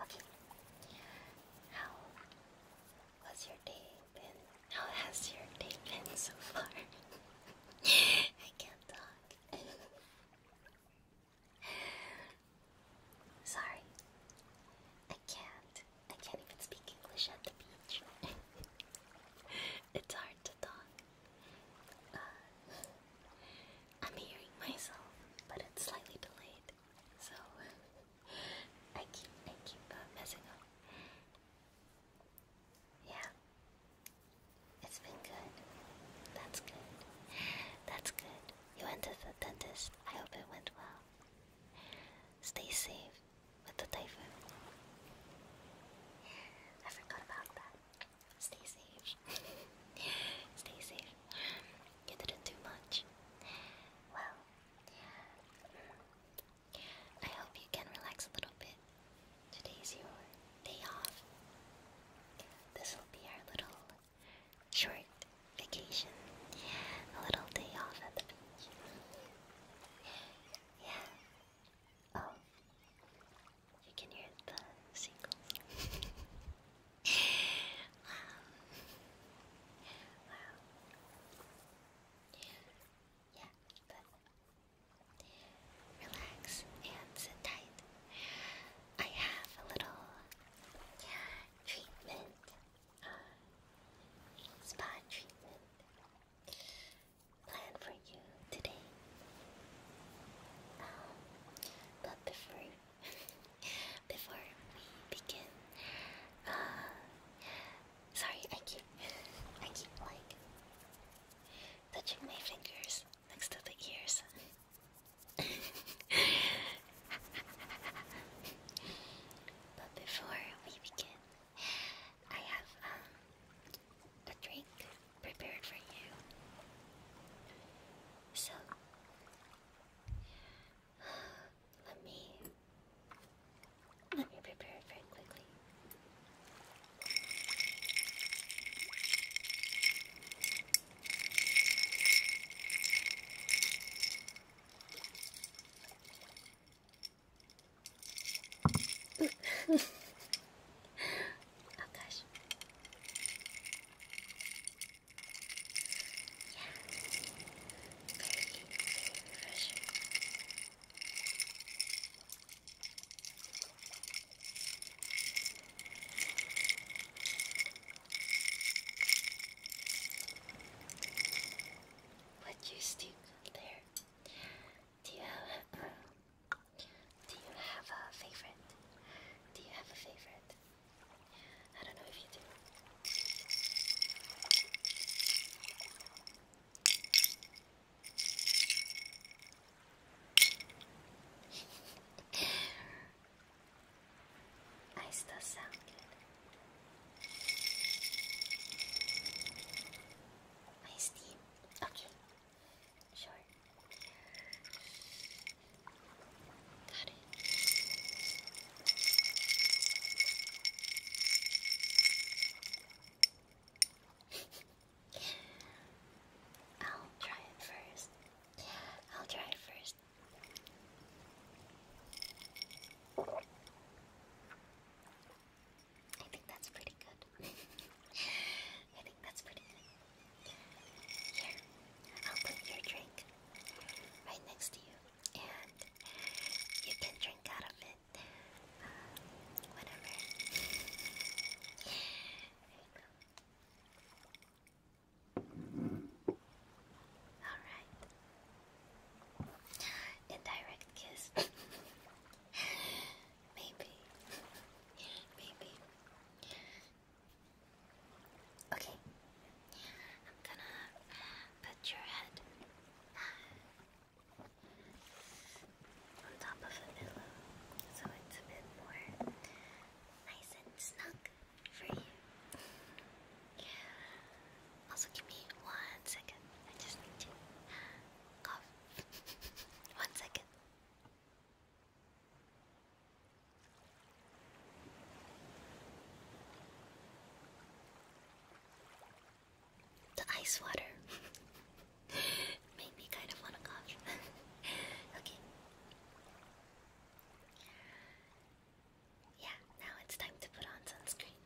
Okay. How was your day been? How has your day been so far? I can't talk. Sorry. I can't. I can't even speak English at the beach. it's hard to talk. Uh, I'm hearing myself, but it's slightly delayed so I keep I keep uh, messing up. Yeah, it's been good. That's good. That's good. You went to the dentist. I hope it went well. Stay safe with the typhoon. I forgot about that. Stay safe. Stay safe. You didn't do much. Well, I hope you can relax a little bit. Today's your day off. This will be our little short vacation. A little day off at the beach. Yeah. Oh. You can hear the seagulls. relax and sit tight. I have a little treatment, spa treatment planned for you today. but before Before we begin, uh, sorry, I keep, I keep like touching my fingers next to the ears. but before we begin, I have um, a drink prepared for you. So, let me let me prepare it very quickly. oh gosh. What do you stick there? Do you do you have a favorite? Do you have a favorite? I don't know if you do. I still sound good. My steam. Okay. Sure. Got it. I'll try it first. I'll try it first. I think that's pretty good. I think that's pretty good. Here, I'll put your drink right next to you and you can drink out of it. Um, whatever. Alright. Indirect kiss. Maybe. Maybe. Okay, I'm gonna put your head on top of a pillow so it's a bit more nice and snug for you. Also, give me one second, I just need to cough. one second. The ice water made me kind of want to cough. okay. Yeah, now it's time to put on sunscreen.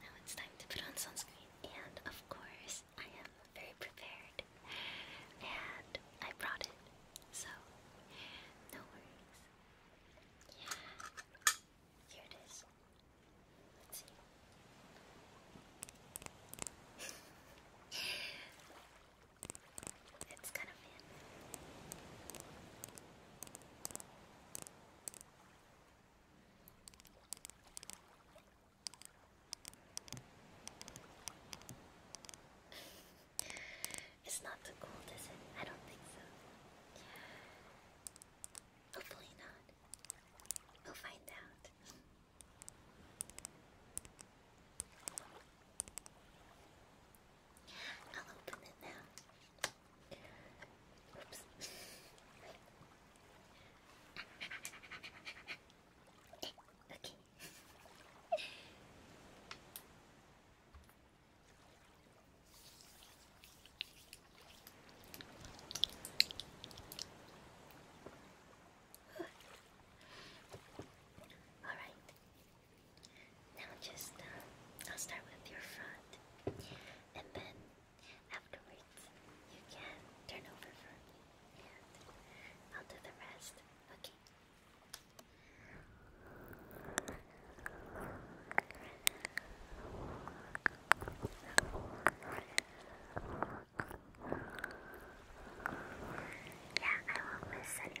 Now it's time to put on sunscreen. And of course, I am very prepared. And I brought it. So, no worries. Here it is. Let's see. it's kind of thin. It's not too cold, is it? I don't think so. Hopefully not. We'll find out. I'll open it now. Oops. okay. All right. Now just uh, I'll start with your front, and then afterwards you can turn over for me, and I'll do the rest. Okay. Yeah, I want my cinnamon.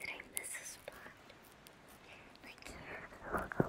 Did I miss a spot? Like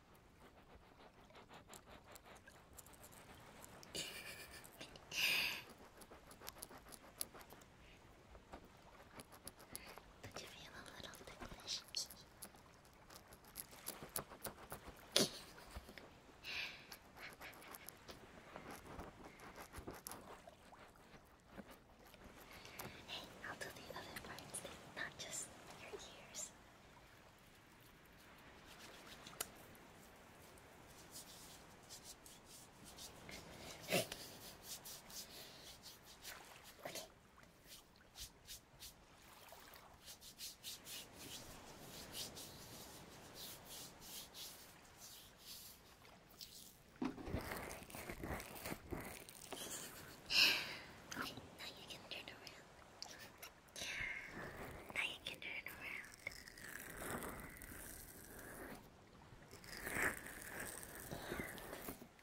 Did you feel a little ticklish? hey, I'll do the other parts, not just your ears. Okay, now you can turn around. Now you can turn around.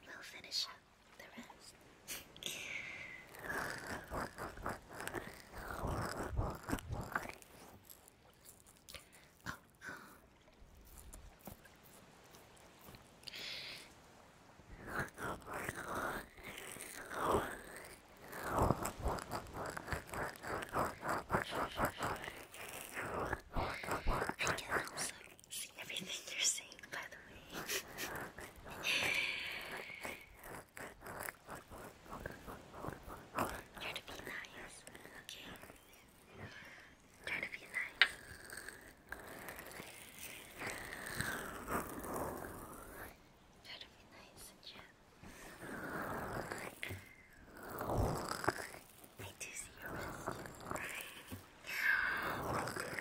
we'll finish up the rest. oh, I can also see everything you're saying, by the way. Try to be nice, okay? Try to be nice. That'd be nice, Jim. I do see your rescue. okay,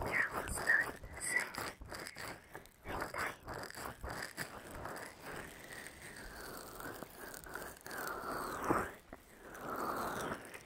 we're almost done. So, hang tight.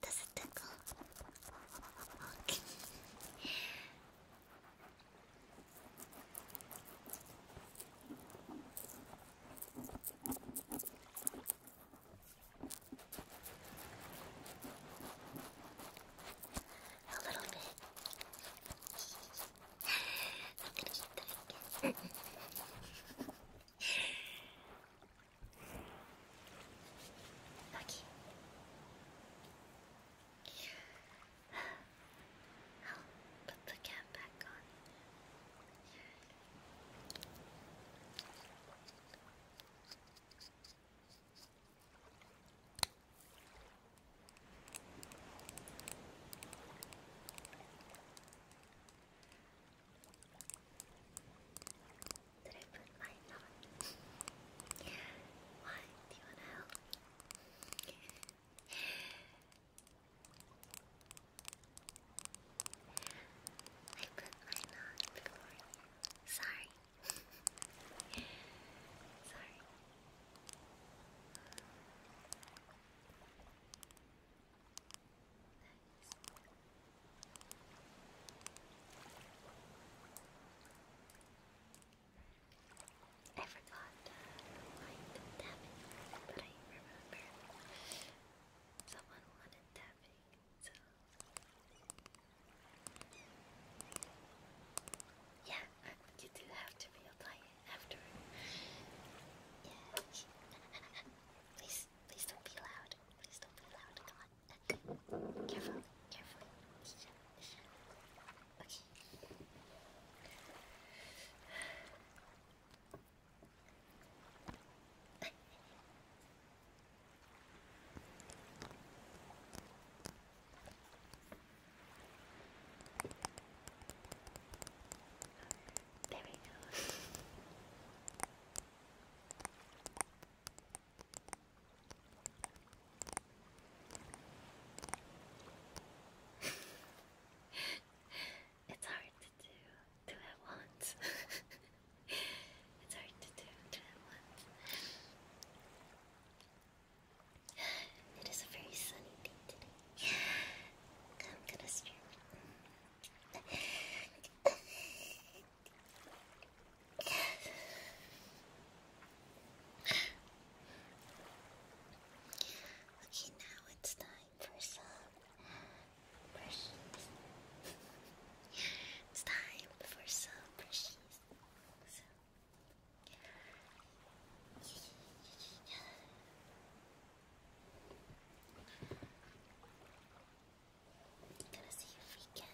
Does it Okay. A little bit. I'm gonna keep that again. okay. I'll put the cap back on. Okay. Did I put mine on? Why? Do you wanna help? I put mine on Sorry. Sorry. I forgot to tapping, but I remember someone wanted tapping, yeah, you do have to reapply it after. Yeah. please, please don't be loud. Please don't be loud. Come on. Careful, careful. Okay. There we go. it's hard to do two at once. it's hard to do two at once. It is a very sunny day today. I'm gonna stream. Okay, now it's time for some brushes. it's time for some brushes. I'm gonna see if we can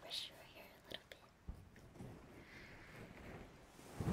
pressure here a little bit. All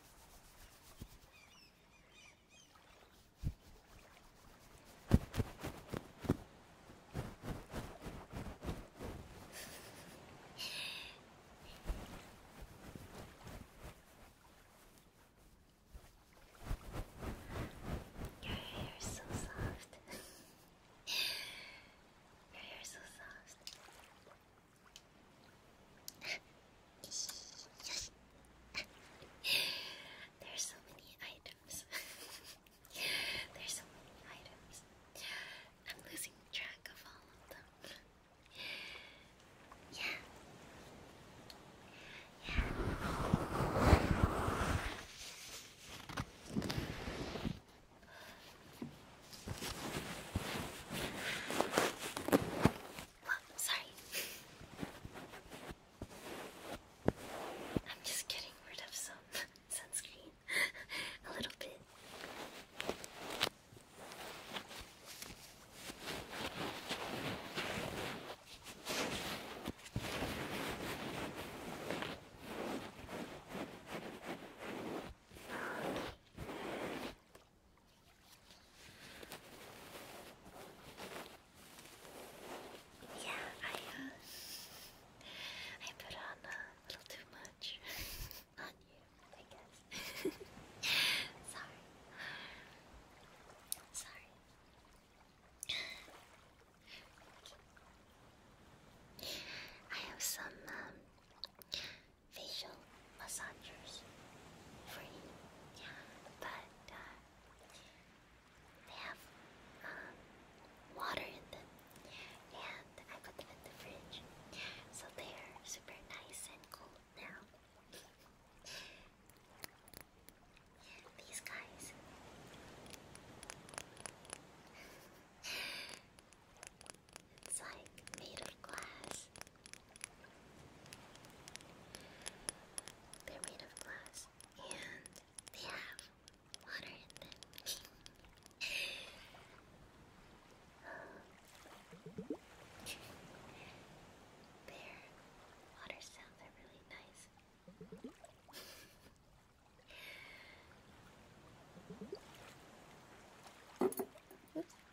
Your hair is so soft. Your hair is so soft. There's so many items. There's so many items. I'm losing track of all of them. Yeah. Yeah sorry. I'm just getting rid of some sunscreen. A little bit. Yeah, I uh, I put on a little too much on you, I guess. Sorry. Sorry. I have some um facial massagers free. Yeah, but uh, they have um, water in them, and I put them in the fridge, so they are super nice and cool now. These guys. It's like made of glass. They're made of glass. And they have water in them. Their water sounds are really nice.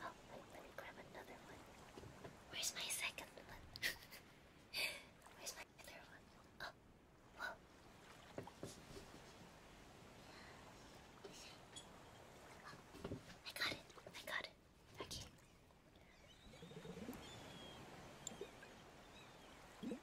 Oh, wait, let me grab another one. Where's my second one? Where's my other one? Oh, whoa. Oh, I got it. I got it. Okay.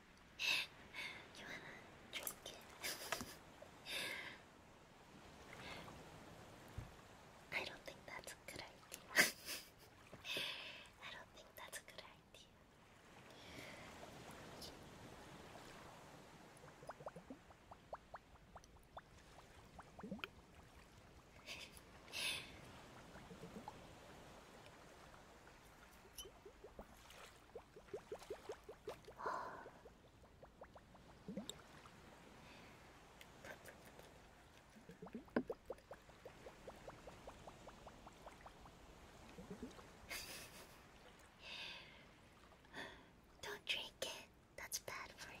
you I don't think that's a good idea. I don't think that's a good idea. Don't drink it. That's bad for you.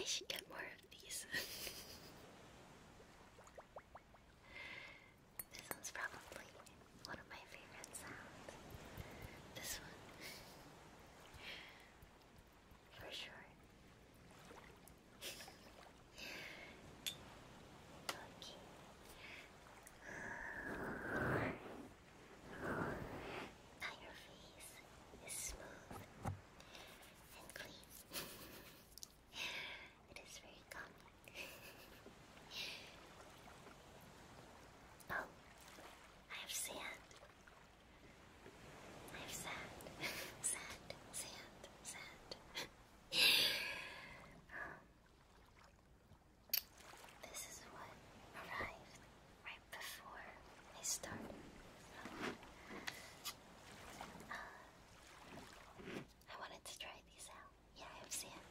I should get more of these. this one's probably one of my favorite sounds. This one. For sure. Now your face is smooth and clean. it is very calming. oh, I have sand. I have sand, sand, sand, sand. This is what arrived right before I started. Uh, I wanted to try these out. Yeah, I have sand.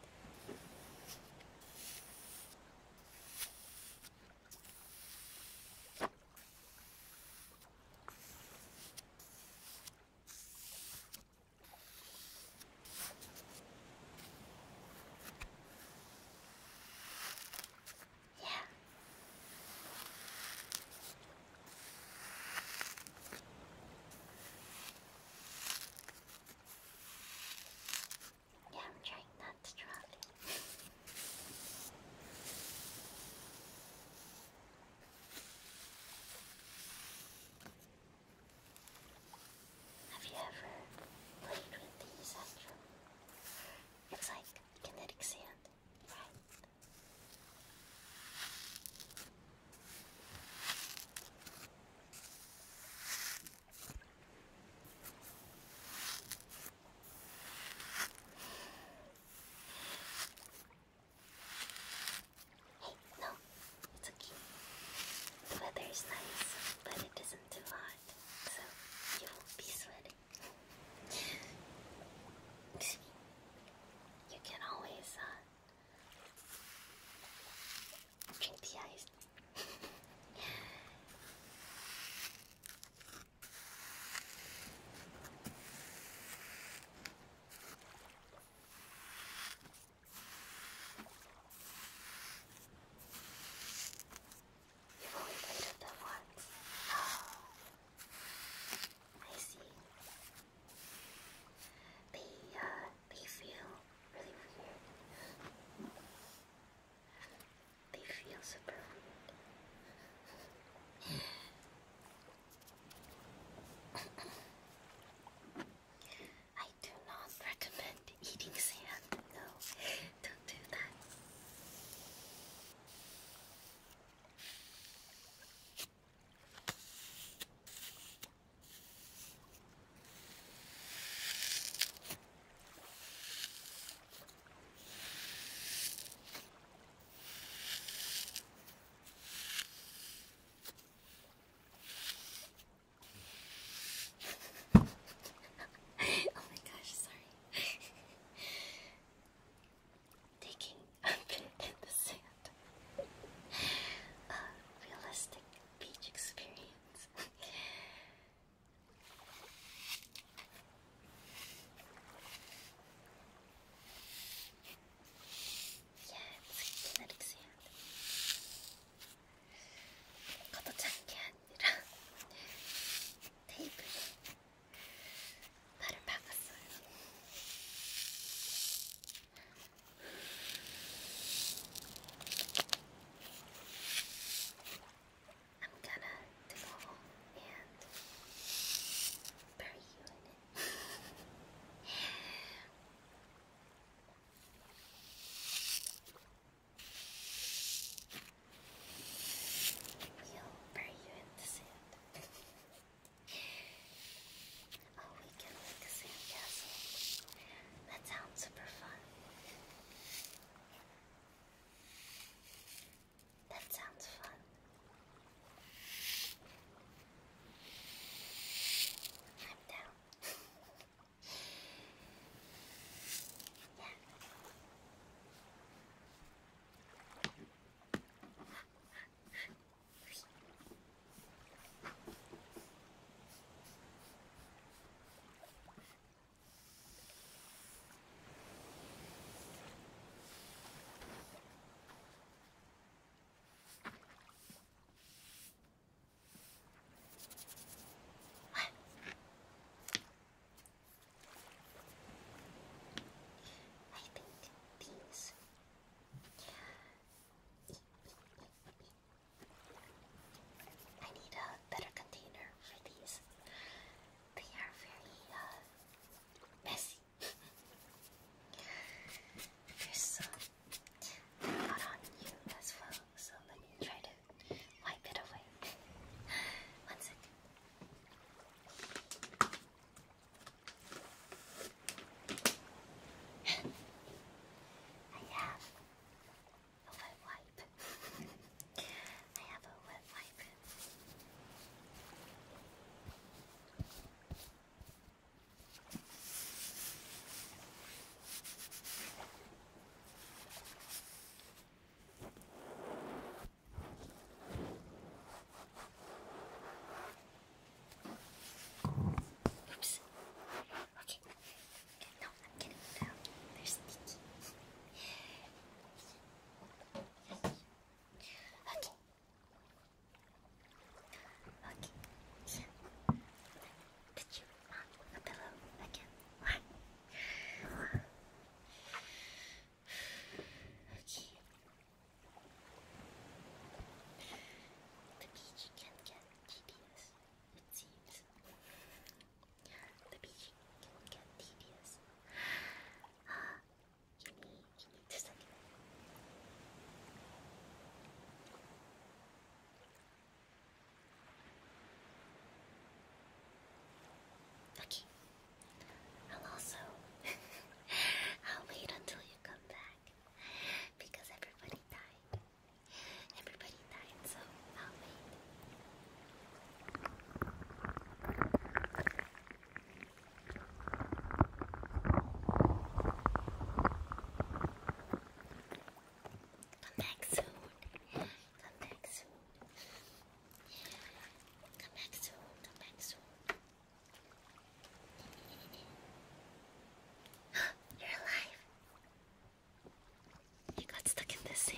Yeah. Yeah, I'm trying not to drop it. Have you ever played with these actually? It's like kinetic sand, right? Hey, no, it's okay. The weather is nice, but it isn't too hot, so you won't be sweating. you can always uh, drink the ice. You've only played them once. Oh, I see. They uh, they feel really weird. They feel super weird. I do not recommend eating sand. No, don't do that oh my gosh, sorry. Taking a bit in the sand. a realistic beach experience. Yeah, it's genetics hand. 거둬찬 게 아니라 테이블에 발을 박았어요. I'm gonna go and bury you in it. He'll bury you in the sand. oh, we can make a sand castle. That sounds super fun. That sounds fun. I'm down. yeah. I think these. I need a better container for these. They are very uh, messy. There's some on you as well, so let me try to wipe it away. One second. I have a wet wipe. I have a wet wipe. Oops. Okay. And no, I'm getting it out. They're sticky. okay. Okay. So, you on the pillow again. Right. Okay. The beach can get GPS, it seems. The beach can get GPS. Ah, you just Okay. I'll also I'll wait until you come back because everybody died. Everybody died, so I'll wait. Come back soon. Come back soon. Come back soon. Come back soon. You're alive. You got stuck in the sand.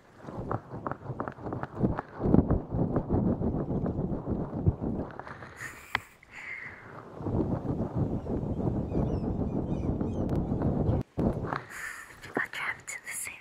You got trapped in the sand.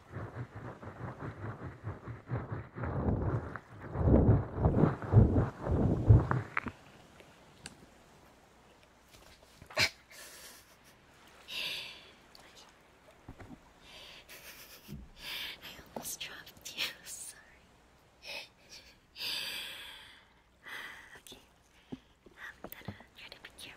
I almost dropped you, sorry. okay, I'm um, gonna try to be careful.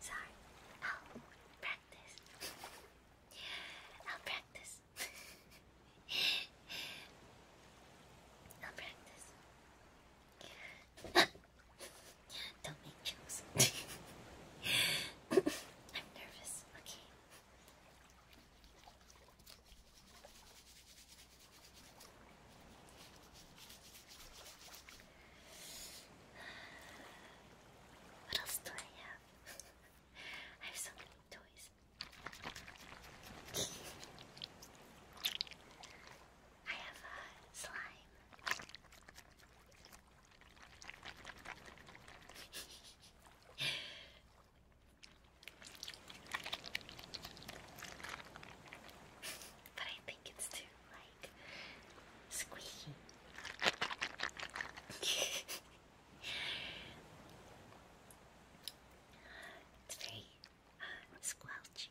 Sorry, I'll practice. I'll practice practice. i practice. Don't make jokes. I'm nervous. Okay. What else do I have? I have so many toys. I have a uh, slime. but I think it's too like squeaky. it's Squelch.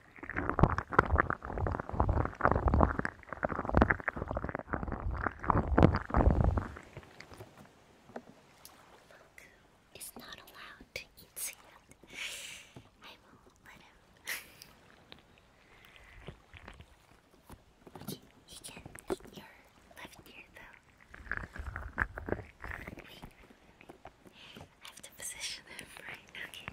Luke is not allowed to eat sand. I won't let him. he, he can eat your left ear though. I have to position it right. Okay.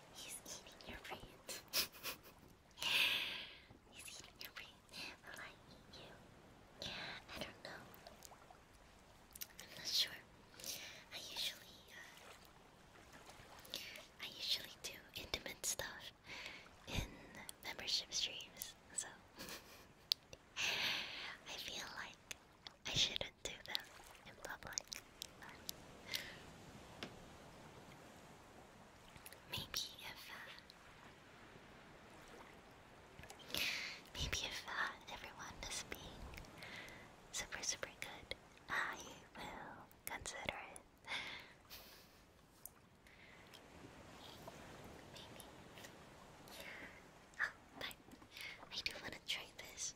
He's eating your brain. He's eating your brain. Will I eat you? I don't know. I'm not sure. I usually, uh, I usually do intimate stuff in membership streams, so I feel like I shouldn't do them in public. Maybe if, uh, maybe if uh, everyone is being super, super good, I will consider it. Maybe. Oh, I do want to try this.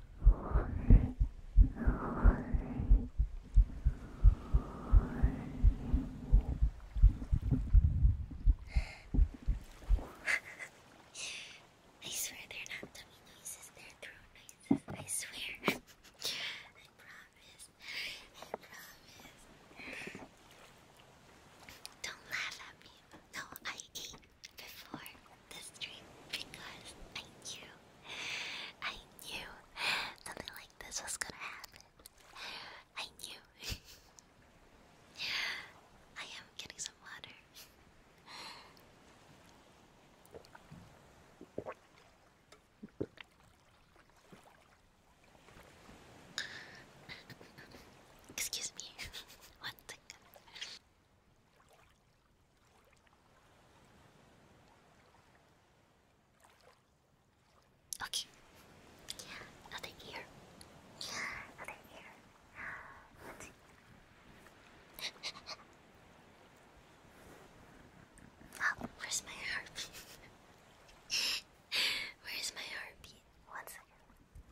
I swear they're not tummy noises, they're throat noises. I swear. I promise. I promise. Don't laugh at me. No, I ate before the stream because I knew, I knew something like this was gonna happen. I knew. I am getting some water. Excuse me, one second. Okay. Nothing here. Nothing here. Let's see. oh, where's my heartbeat? where's my heartbeat? One second.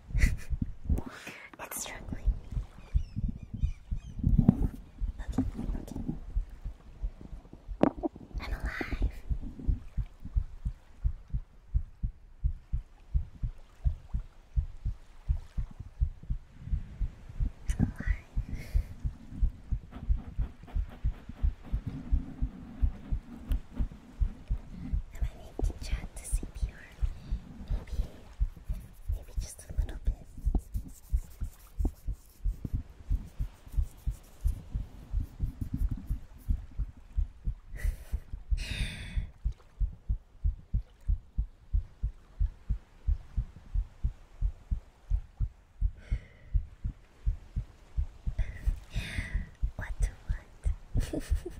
it's struggling. Okay, okay. I'm alive. I'm alive. Am I making chat CPR? maybe, maybe just a little bit. what what?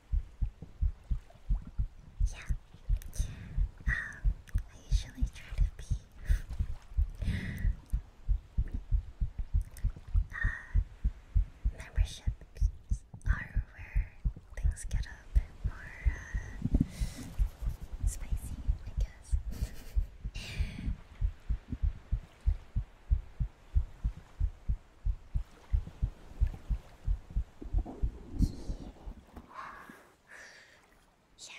Yeah. Um, I usually try to be uh, memberships are where things get a bit more uh, spicy, I guess. Yeah.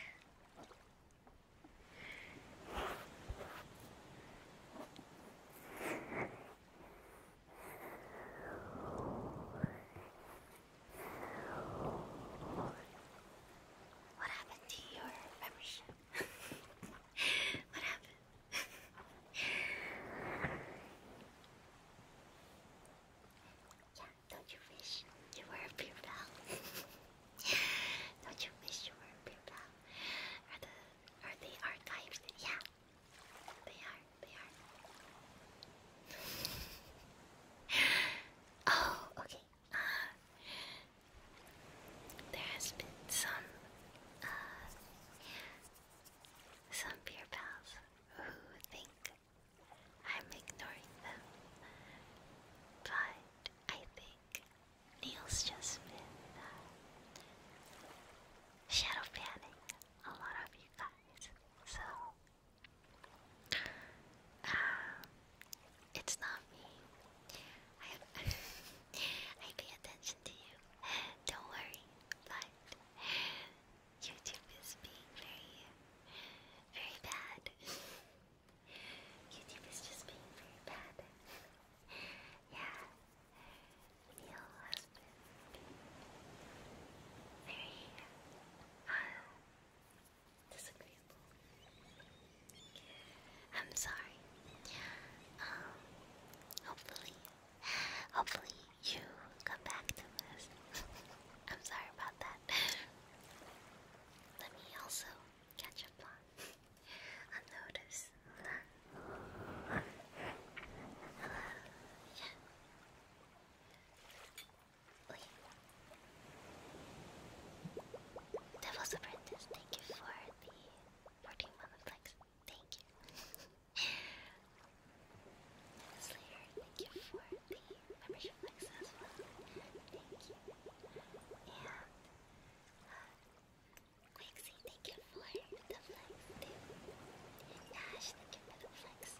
What happened to your membership? what happened? Yeah, don't you wish you were a beer pal? don't you wish you were a beer pal? Are the are they archives? Yeah, they are. They are. oh, okay. Uh, there has been some uh, some beer pals who think I'm ignoring them. But I think Neil's just been uh, a lot of you guys. So, um, it's not me. I pay attention to you. Don't worry. But YouTube is being very, very bad. YouTube is just being very bad. yeah. Neil has been very disagreeable. I'm sorry. Um, hopefully, hopefully you come back to us. I'm sorry about that. Let me also catch up on a notice. Uh, yeah. Devil's Apprentice, thank you for the 14 month flex. Thank you. Slayer, thank you for the membership access. Thank you. And uh, Quixie, thank you for the flex too. And Ash, thank you for the flex.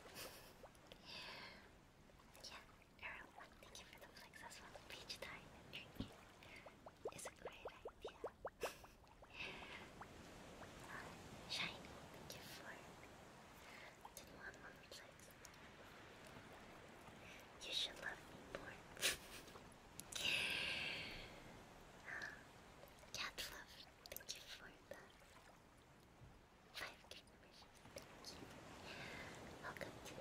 yeah, everyone, thank you for the flex as well. Peach time is a great idea. uh, Shiny, thank you for Anyone You should love me more. cat love, thank you for that. five confirmations. Thank you. Welcome to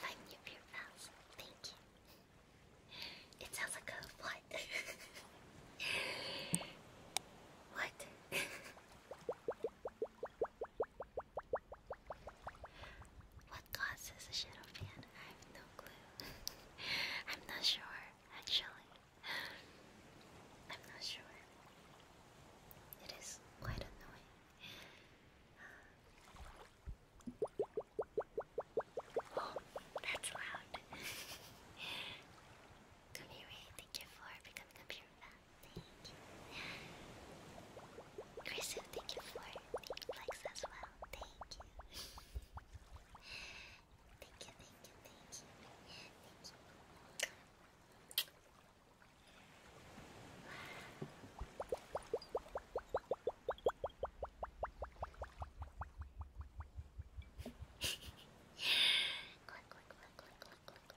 five new beer pals. Thank you. It sounds like what? what? What causes a shadow fan? I have no clue. I'm not sure, actually. I'm not sure. It is quite annoying. Oh, that's loud. Kamiri, thank you for becoming a pure fan. Thank you. Chrisu, thank you for the flex as well. thank you, thank you, thank you. Thank you. click, click, click, click, click, click,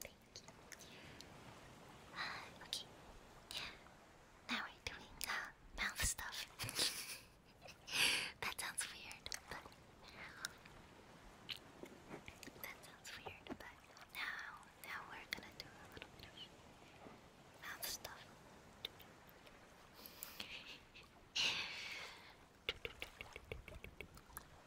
Thank you. Uh, okay. Now we're doing uh, mouth stuff. that sounds weird, but now now we're gonna do a little bit of mouth stuff.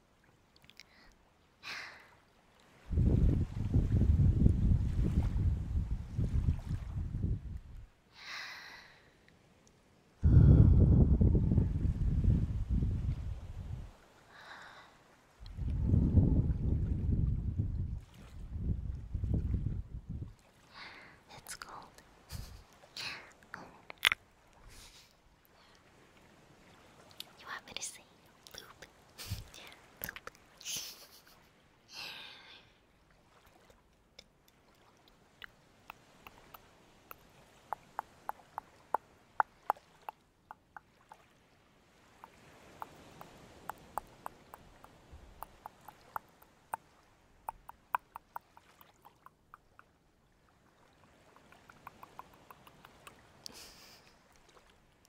It's cold. You want me to sing? Loop. Loop.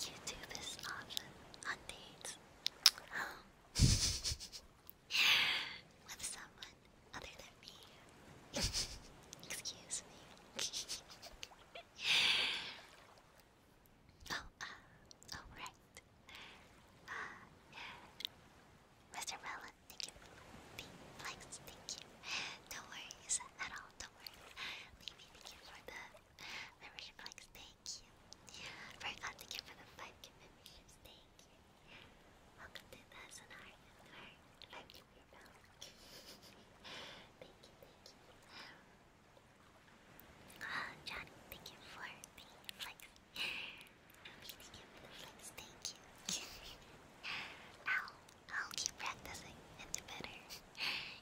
You do this often on dates with someone other than me. Excuse me. Oh, uh, oh, uh Mr. Melon, thank you the likes, thank you. Don't worry, at all, don't worry. Maybe thank you for the membership likes, thank you. Forgot, uh, thank you for the 5k thank you. Welcome to the SNR, 5k for Thank you, thank you. Johnny, thank you for the flex. I'll, keep practicing and do better.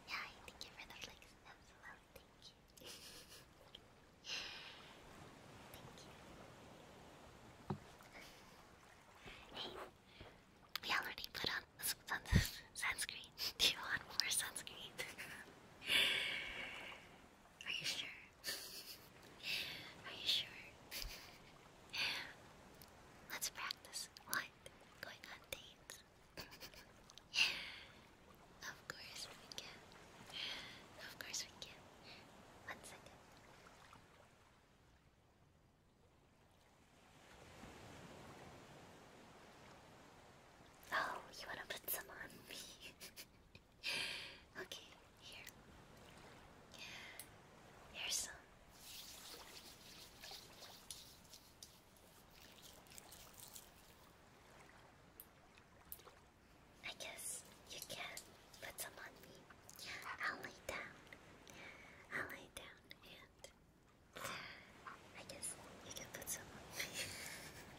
yeah, thank you for the flex as well, thank you. Hey, we already put on sunscreen. Do you want more sunscreen? Are you sure? Are you sure? Let's practice. What? Going on dates? of course we can. Of course we can. One second. Oh, you want to put some on me? okay, here. Here's some. I guess you can put some on me. I'll lay down. I'll lay down and I guess you can put some on me.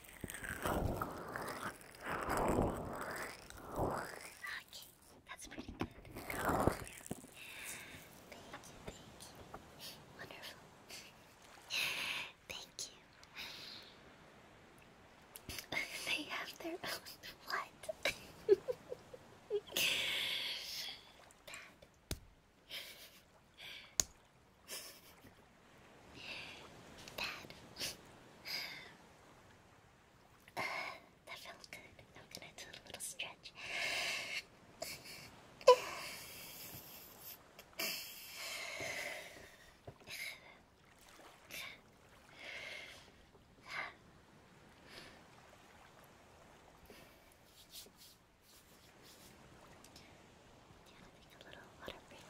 Okay, that's pretty good. Thank you, thank you. Wonderful. Thank you. they have their own what? Bad. Bad. that felt good. I'm gonna do a little stretch. Do take a little water break?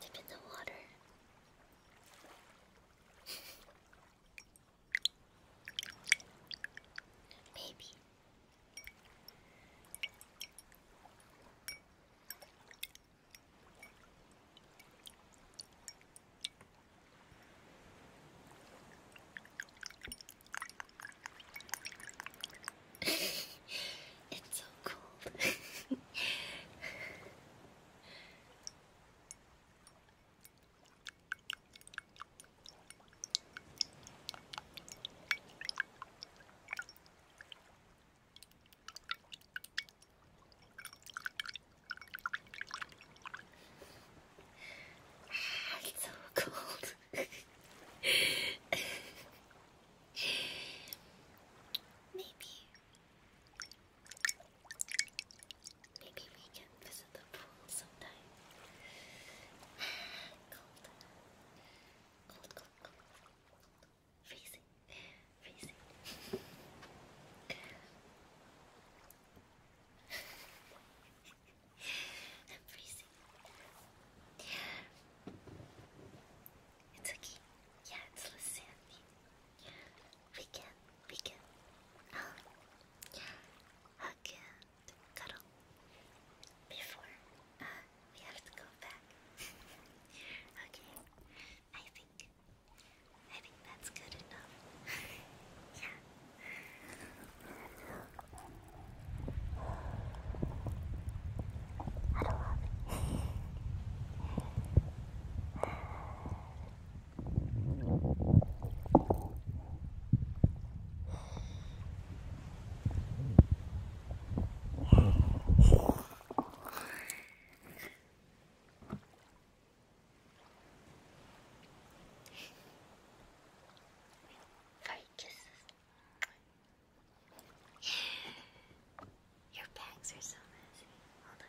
Dip in the water. Maybe. it's so cold. it's so cold. Maybe. Maybe we can visit the pool sometime. cold. Cold, cold, cold. Freezing. Freezing. I'm freezing. It's a Yeah, it's Lysanthi. We can, we can, um, hug cuddle before uh, we have to go back. okay, I think, I think that's good enough. yeah. I don't love Five kisses. Yeah. Your bags are so messy. Hold on.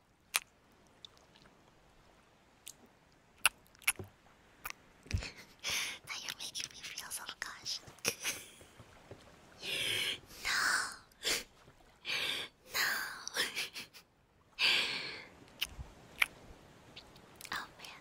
now you're making me feel self-conscious. no, no. oh man.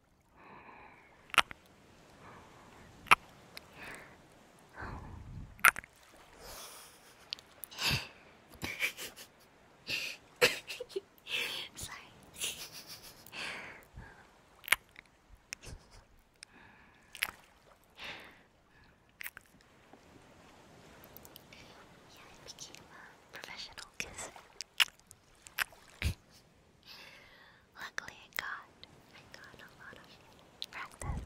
I'm sorry. Yeah, I became a professional kisser. Luckily, I got I got a lot of practice.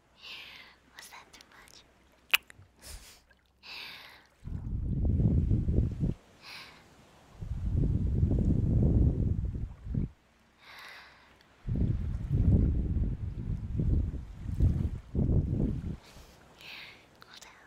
Was that too much? Cool down.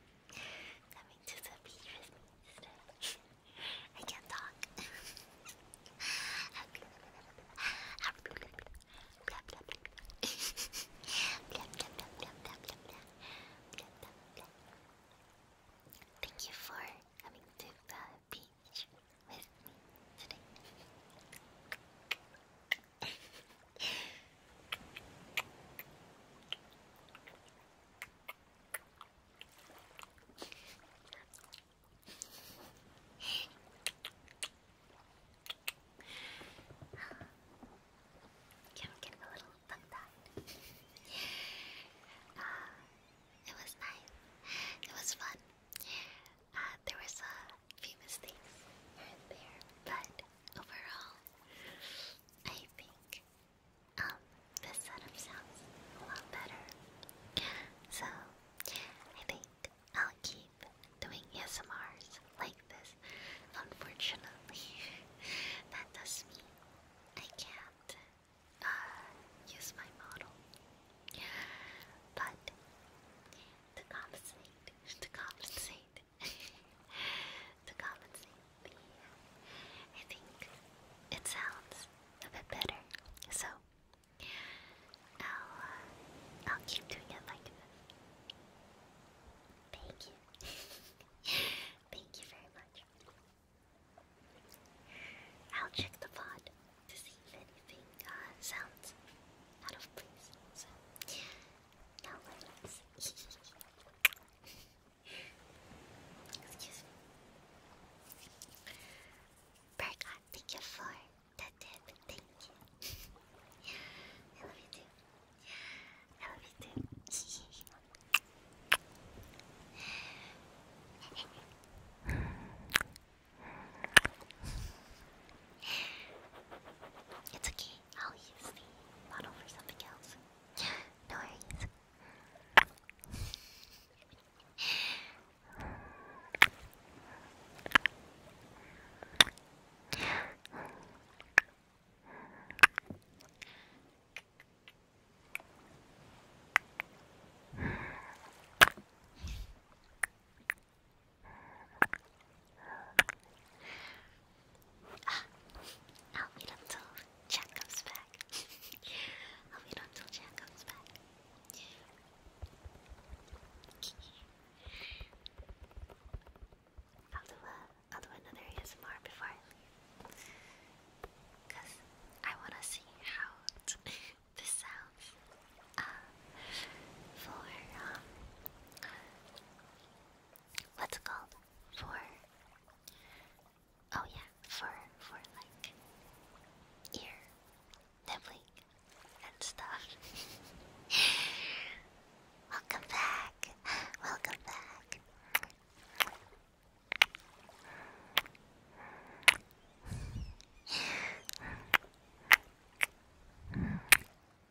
Coming to the beach with me instead. I can't talk. Thank you for coming to the beach with me today yeah, uh, it was nice. It was fun. Uh, there was a few mistakes here and there, but overall, I think um, this setup sounds a lot better. So I think I'll keep doing SMRs like this. Unfortunately, that does mean I can't uh, use my model. But to compensate, to compensate, to compensate me. I think it sounds a bit better, so I'll uh, I'll keep doing it like this. Thank you, thank you very much. I'll check the pod to see if anything uh, sounds out of place. No thank you for the tip. Thank you. I love you too. I love you too. it's okay. I'll use the bottle for something else. No worries. Ah, I'll wait until Chad comes back. I'll wait until Chad comes back. I'll do a, I'll do before I leave, cause I wanna see how this sounds. Uh, for um, what's called? for oh yeah for for like ear nibbling and stuff. Welcome back. Welcome back.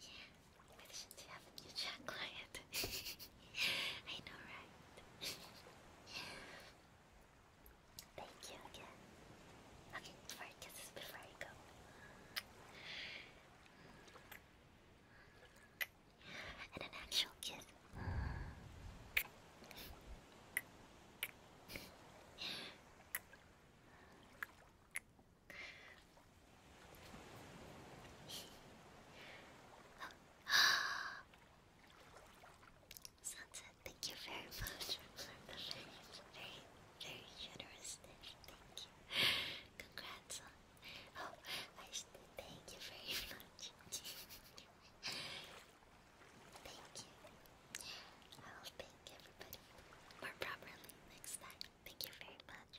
Yeah, why doesn't he have a I know, right? Thank you again. Okay, four kisses before I go. And an actual kiss. Sunset, thank you very much for the very, very, very generous gift. Thank you. Congrats on. Oh, I should thank you very much. thank you. I will thank everybody more properly next time. Thank you very much.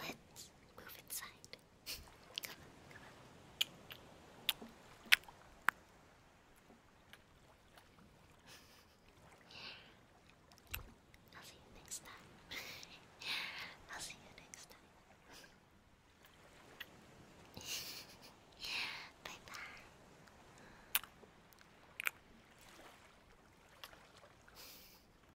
Let's move inside. Come on, come on. I'll see you next time. I'll see you next time. bye bye.